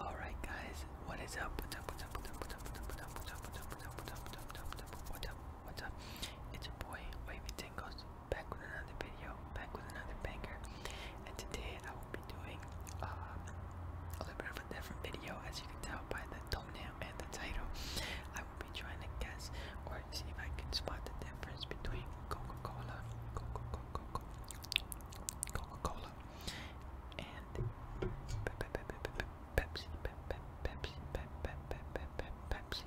Alright guys, what is up? What's up? What's up? What's up? What's up? What's up? It's your boy Wavy Tingles back with another video, back with another banker, And today I will be doing a little bit of a different video as you can tell by the thumbnail and the title. I will be trying to guess or see if I can spot the difference between Coca-Cola, Coca-Cola, Coca-Cola and Pepsi, Pepsi, Pepsi.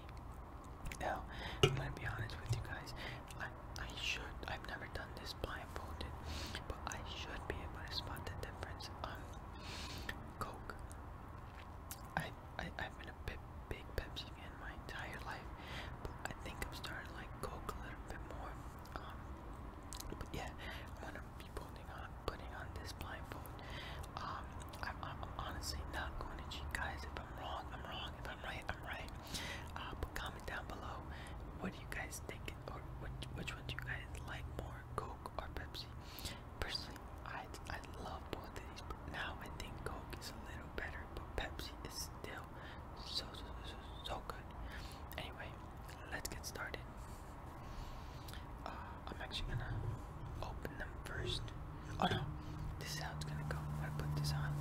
Now, I'm gonna be honest with you guys. I I should. I've never done this blindfolded, but I should be able to spot the difference. Um, Coke. I I I've been a bit big Pepsi fan my entire life, but I think I'm starting to like Coke a little bit more but yeah, I'm gonna be putting on putting on this blindfold. Um, I'm, honestly not going to cheat, guys. If I'm wrong, I'm wrong. If I'm right, I'm right. Uh, comment down below. What do you guys think, or which which one do you guys like more, Coke or Pepsi? Personally, I I love both of these, but now I think Coke is a little better, but Pepsi is still so, so, so, good. Anyway, let's get started. Uh, I'm actually gonna open them first. Oh no, this is how it's gonna go. I put this on.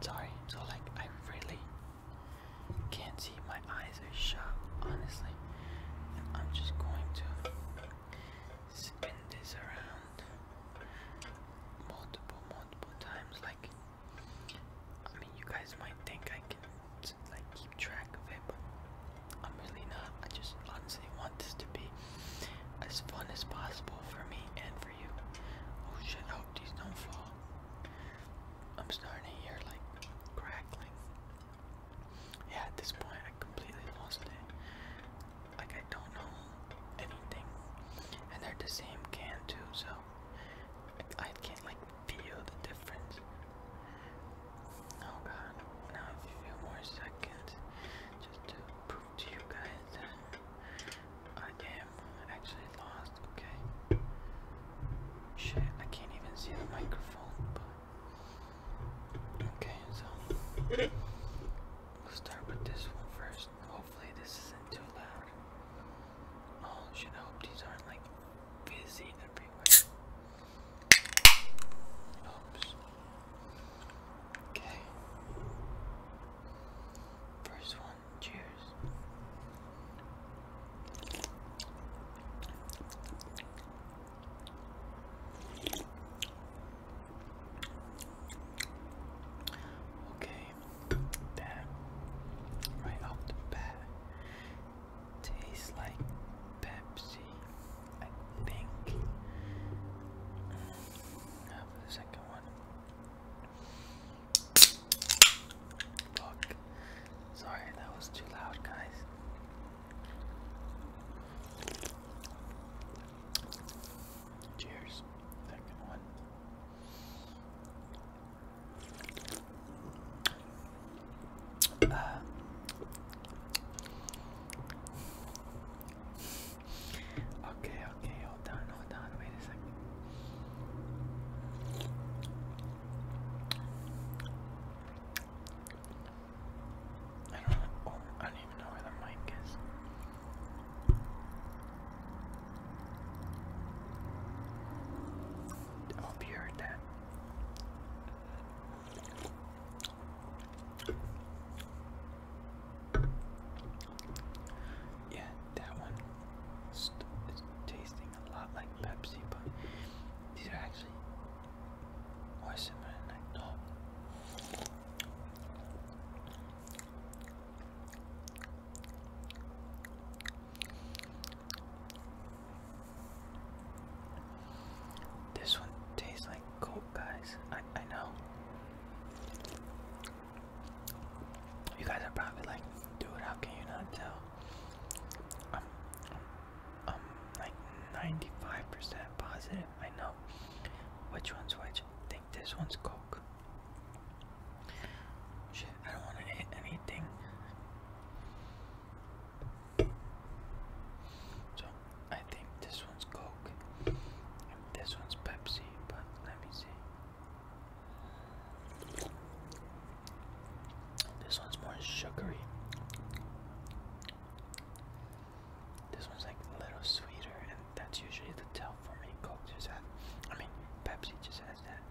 sorry. So like, I really can't see, my eyes are shut, honestly. I'm just going to spin this around multiple, multiple times. Like, I mean, you guys might think I can like keep track of it, but I'm really not. I just honestly want this to be as fun as possible for me and for you. Oh shit! I hope these don't fall. I'm starting to hear like crackling. Yeah, at this point I completely lost it. Like I don't know anything. And they're the same can too, so I can't like feel the difference. Oh god. Now a few more seconds just to prove to you guys I can actually lost, okay? Shit, I can't even see the microphone, Okay, so... We'll start with this one first. Hopefully this isn't too loud. Oh shit, I these aren't like busy everywhere. Oops. Okay. First one Cheers. Okay, that right off the bat tastes like Pepsi. I think. Have the second one. Sorry, that was too loud, guys. Cheers. Second one. Ah. okay, okay, wait a second. Oh, I don't even know where the mic is. I oh, hope you heard that. Yeah, that one is tasting a lot like Pepsi, but these are actually more similar than I thought. This one tastes like Coke, guys. I I know. You guys are probably like, dude, how can you not tell? I'm, I'm like 95% positive. I know which one's which. I think this one's Coke. Shit, I don't want to hit anything. So I think this one's Coke this one's Pepsi, but let me see. This one's more sugary. This one's like a little sweeter, and that's usually the tell for me. Coke just has, I mean, Pepsi just has that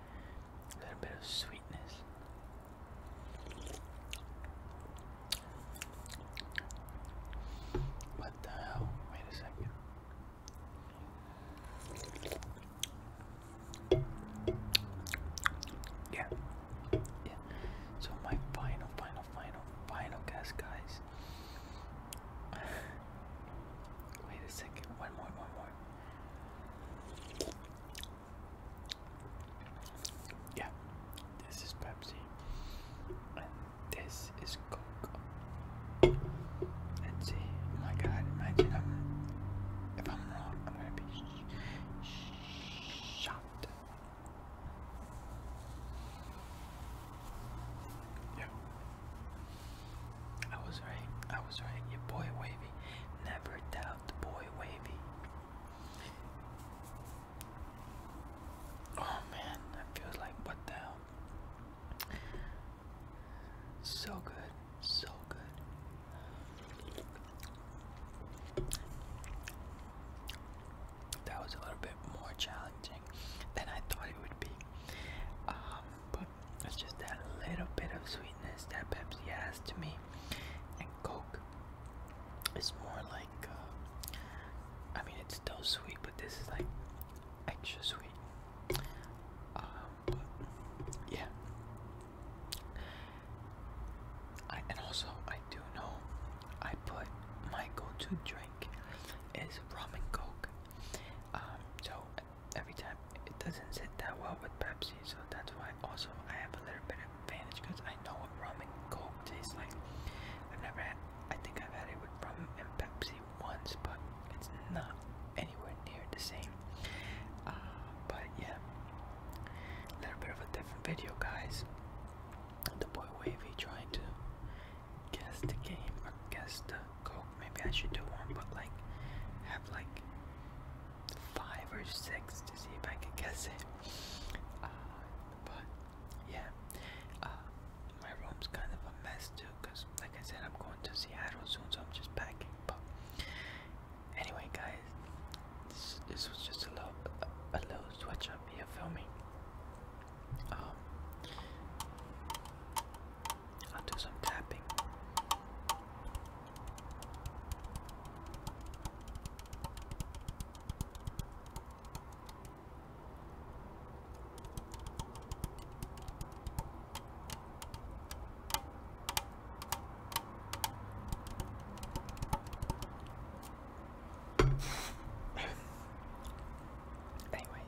little bit of sweetness. What the hell? Wait a second. Yeah. Yeah. So my final, final, final, final guess, guys. Wait a second. One more, one more. Yeah. This is Pepsi. This is Coco. Let's see. Oh my god, imagine if I'm wrong, I'm gonna be sh Yeah. I was right. I was right. Your boy Wavy. Never doubt boy Wavy. Oh man, that feels like what the hell? So good, so good. That was a little bit more challenging than I thought it would be. Um, but it's just that little bit of sweetness that Pepsi has to me. And Coke is more like. Uh, I mean, it's still sweet, but this is like extra sweet. Um, yeah. and also, I do know I put my go-to drink is rum and coke. Um, so every time it doesn't sit that well with Pepsi, so that's why also I have a little bit of advantage because I. I rum and coke tastes like. I've never had. I think I've had it with rum and Pepsi once, but it's not anywhere near the same. Uh, but yeah, a little bit of a different video, guys. The boy Wavy trying to guess the game or guess the coke. Maybe I should do one, but like have like five or six to see if I can guess it. Uh, but yeah, uh, my room's kind of a mess too, cause like I said, I'm going to Seattle soon, so I'm just packing. But anyway, guys, this, this was just a little a little switch up here filming. Um, I'll do some tapping. Anyway,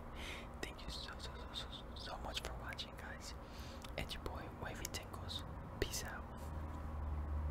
thank you so so so so so much for watching guys. It's your boy Wavy Tingles. Peace out.